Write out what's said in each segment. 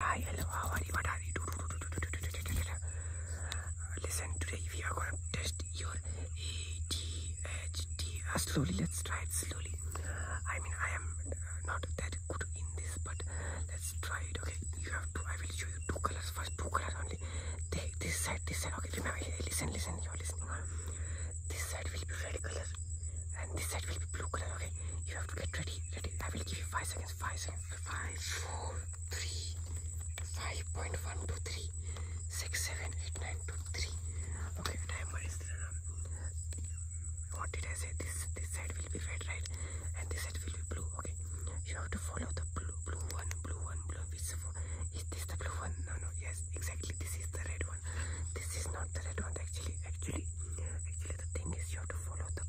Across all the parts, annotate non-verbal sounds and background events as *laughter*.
Hi, hello, how are you? What are you? Do, do, do, do, do, do, do, do. Listen, today we are gonna test your ADHD. Uh, slowly, let's try it slowly. I mean, I am not that good in this, but let's try it. Okay, you have to. I will show you two colors first, two colors only. They, this side, this side. Okay, remember. Listen, listen. You are listening. This side will be red color, and this side will be blue color. Okay, you have to get ready. Ready. I will give you five seconds. Five seconds five, four, three, five point one two three, six, seven, eight, nine, two, three. Okay, timer is what did I say? This this side will be red, right? And this side will be blue. Okay, you have to follow the blue, blue one, blue one, blue. Which is this the blue one? No, no. Yes, exactly. This is the red one. This is not the red one. Actually, actually, actually, the thing is you have to follow the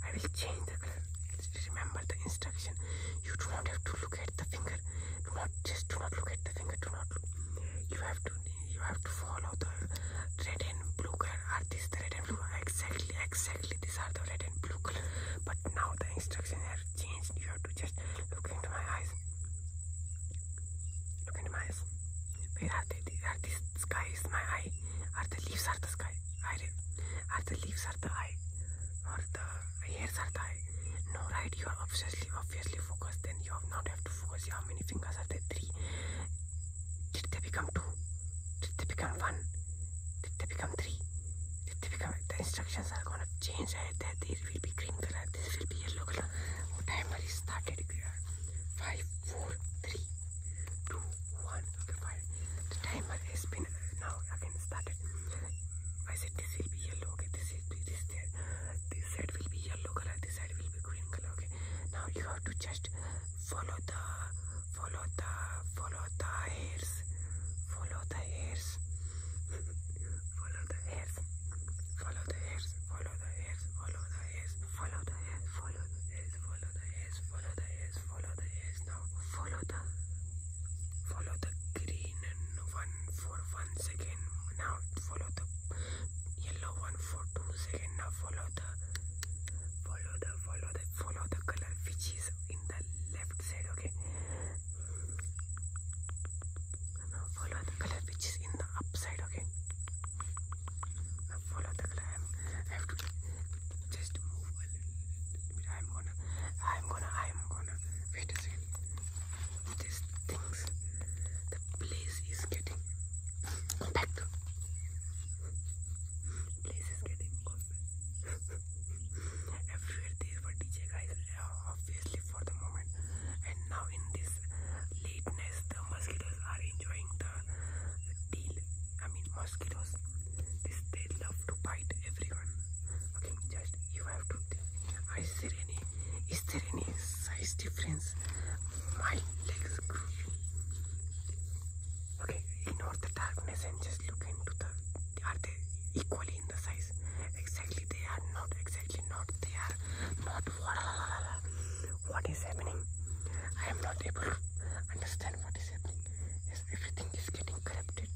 I will change the color. Remember the instruction. You do not have to look at the finger. Do not just do not look at the finger. Do not. Look. You have to you have to follow the red and blue color. Are these the red and blue? Exactly, exactly. These are the red and blue color. But now the instruction have changed. You have to just look into my eyes. Look into my eyes. Where are they? Are these my eye? Are the leaves are the sky, Are the leaves are the eye, or the hairs are the eye. No, right? You are obviously, obviously focused. Then you have have to focus. How many fingers are there? Three. Did they become two? Did they become one? Did they become three? Did they become? The instructions are gonna change. Right? There, there will be green color. This will be yellow color. Oh, timer is started. Five, four, three two, one. Okay, fine. The timer has been now again started. I said this will be yellow. Okay, this is this there. This side will be yellow color. This side will be green color. Okay. Now you have to just follow the follow the follow the hairs. Follow the hairs. *laughs* follow the hairs. Follow the hairs. Follow the hairs. Follow the the ears, follow the ears, follow the ears, follow the ears, follow the ears, follow the ears now. Follow the follow the green one for one second. Now follow the yellow one for two seconds. Now follow the follow the follow the follow the color which is in the left side, okay? Now follow the color which is in the upside, okay? Now follow the I have to just move a little I'm gonna, I'm gonna, I'm gonna. Wait a second. These things, the place is getting compact. Place is getting compact. Everywhere there were DJ guys, obviously for the moment, and now in this the mosquitoes are enjoying the deal i mean mosquitoes this they love to bite everyone okay just you have to is there any is there any size difference my legs grew okay in ignore the darkness and just look into the are they equally in the size exactly they are not exactly not they are not what is happening i am not able to understand what is happening everything is getting corrupted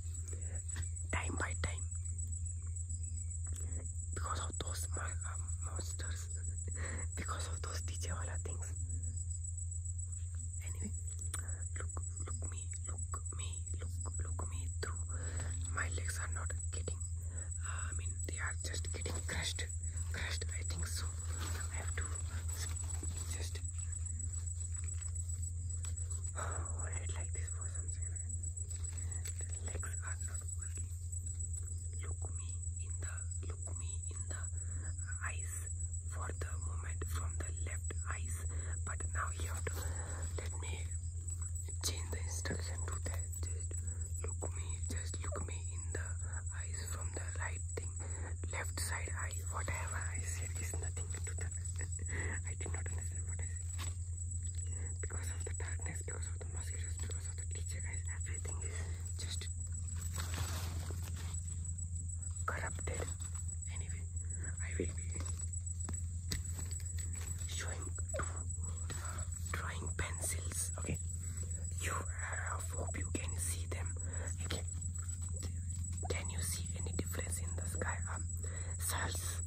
time by time because of those uh, monsters because of those dj wala things anyway look look me look me look look me through my legs are not getting uh, i mean they are just getting crushed crashed. I think so. I have to just *sighs* hold it like this for some second. legs are not working. Look me in the look me in the eyes for the moment from the left eyes. But now you let me change the instruction to that. look me, just look me in the eyes from the right thing left side eye whatever I said is nothing to the *laughs* I did not understand what I said because of the darkness because of the mosquitoes because of the teacher guys everything is just corrupted anyway I will be showing drawing pencils okay you, hope you can see them. You can, you see any difference in the sky? size.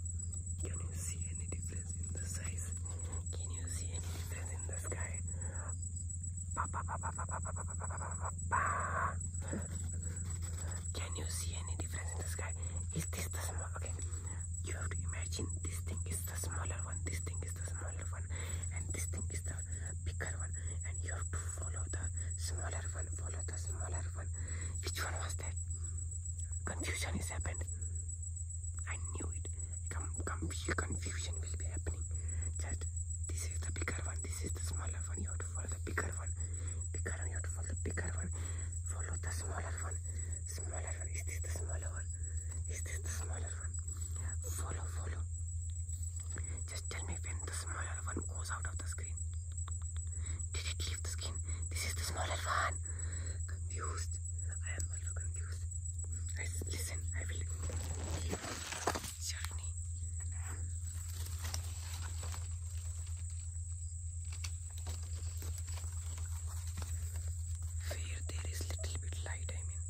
Can you see any difference in the size? Can you see any difference in the sky? Can you see any difference in the sky? Is this the small? Okay, you have to imagine this thing is the smaller one. This thing is is the smaller one and this thing is the bigger one and you have to follow the smaller one follow the smaller one which one was that confusion is happened i knew it Com conf confusion will be happening just this is the bigger one this is the smaller one you have to follow the bigger one bigger one you have to follow the bigger one follow the smaller one smaller one is this the smaller one is this the smaller one? Follow, follow. Just tell me when the smaller one goes out of the screen. Did it leave the screen? This is the smaller one. Confused. I am also confused. listen, I will journey. Where there is little bit light, I mean.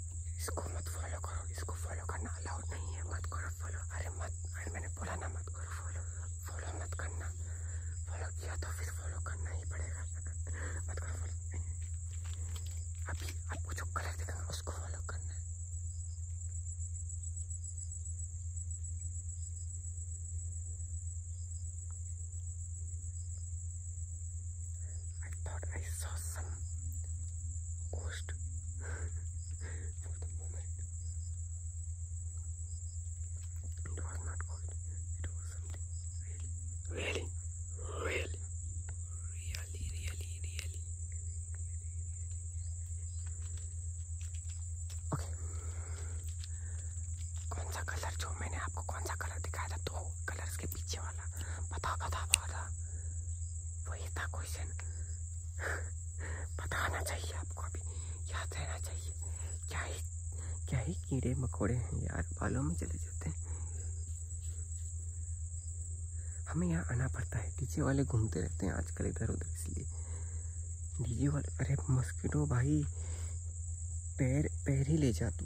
इसको मत follow करो इसको follow करना allowed नहीं है मत करो follow अरे मत अरे मैंने बोला ना मत करो फॉलो फॉलो मत करना फॉलो किया तो फिर फॉलो करना ही पड़ेगा मत करो फॉलो अभी आपको जो कलर दिखेगा उसको फॉलो करना I thought I saw some ghost for the moment. It was not ghost. It was something really, really, really, really, really, really. Okay. कौन सा कलर जो मैंने आपको कौन सा कलर दिखाया था दो कलर्स के पीछे वाला बता बता बता वही था क्वेश्चन बताना चाहिए आपको अभी याद रहना चाहिए क्या ही क्या ही कीड़े मकोड़े हैं यार बालों में चले जाते हैं हमें यहाँ आना पड़ता है डीजे वाले घूमते रहते हैं आजकल इधर उधर इसलिए डीजे वाले अरे मस्किटो भाई पैर पैर ही ले जा तू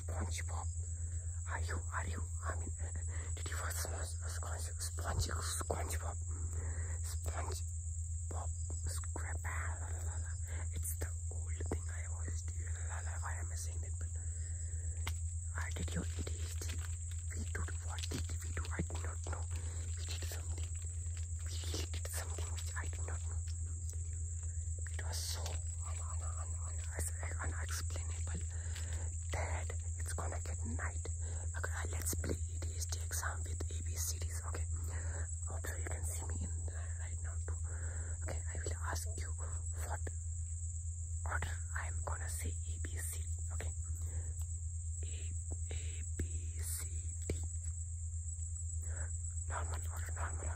SpongeBob? Are you, are you, I mean, did you first know Sponge, SpongeBob? SpongeBob, SquarePants, It's the old thing I always do, Why am I saying that? But, I did your ADHD. We did, what did we do? I do not know. We did something. We really did something which I do not know. It was so gonna unexplainable that it's gonna get night. Okay, let's play ADHD exam with ABCDs. Okay, hopefully you can see me in the right now Okay, I will ask you what order I'm gonna say ABC. Okay, A A B C D. Normal order, normal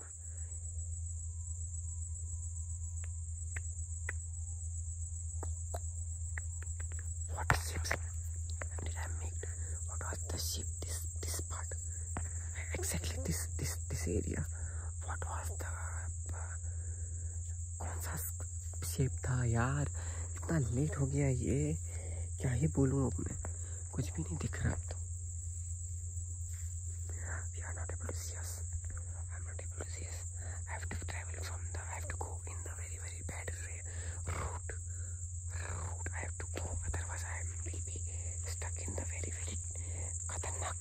ama. What shapes did I make? What was the shape? This this part, exactly this this this area. What was the कौन सा shape था यार इतना late हो गया ये क्या ही बोलूँ अब मैं कुछ भी नहीं दिख रहा अब तो we are not able to see us i'm not able to see us i have to travel from the i have to go in the very very bad route route i have to go otherwise i will be stuck in the very very खतरनाक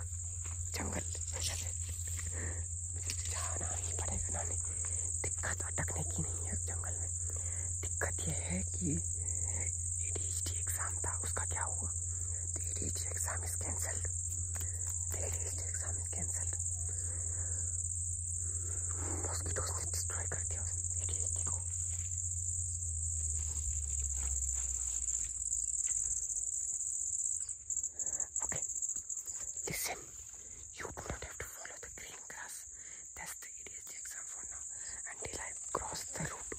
जंगल जहाँ ही पड़ेगा ना दिक्कत अटकने की नहीं है जंगल जंगल में दिक्कत यह है कि ए एग्ज़ाम था उसका क्या हुआ तो a exam is cancelled a exam is cancelled mosquitoes ने डिस्ट्रॉय कर दिया ए को Okay, listen, you do not have to follow the green grass. That's the ADHD exam for now. Until I cross the route,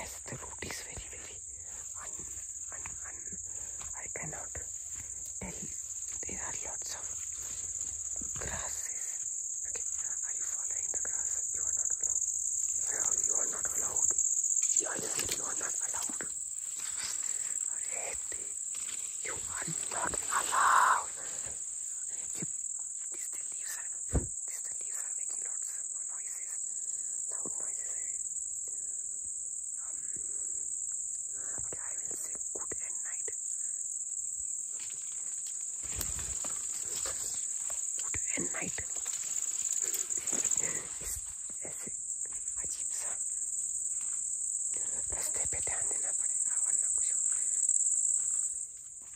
as the route is very, very un, un, un I cannot tell. There are lots of grasses. Okay, are you following the grass? You are not allowed. You are not allowed. You are, just, you are not allowed. You are not allowed. These the leaves are these the leaves are making lots of noises. Loud noises eh? um, I will say good night. Good night. ऐसे अजीब सा रास्ते पे ध्यान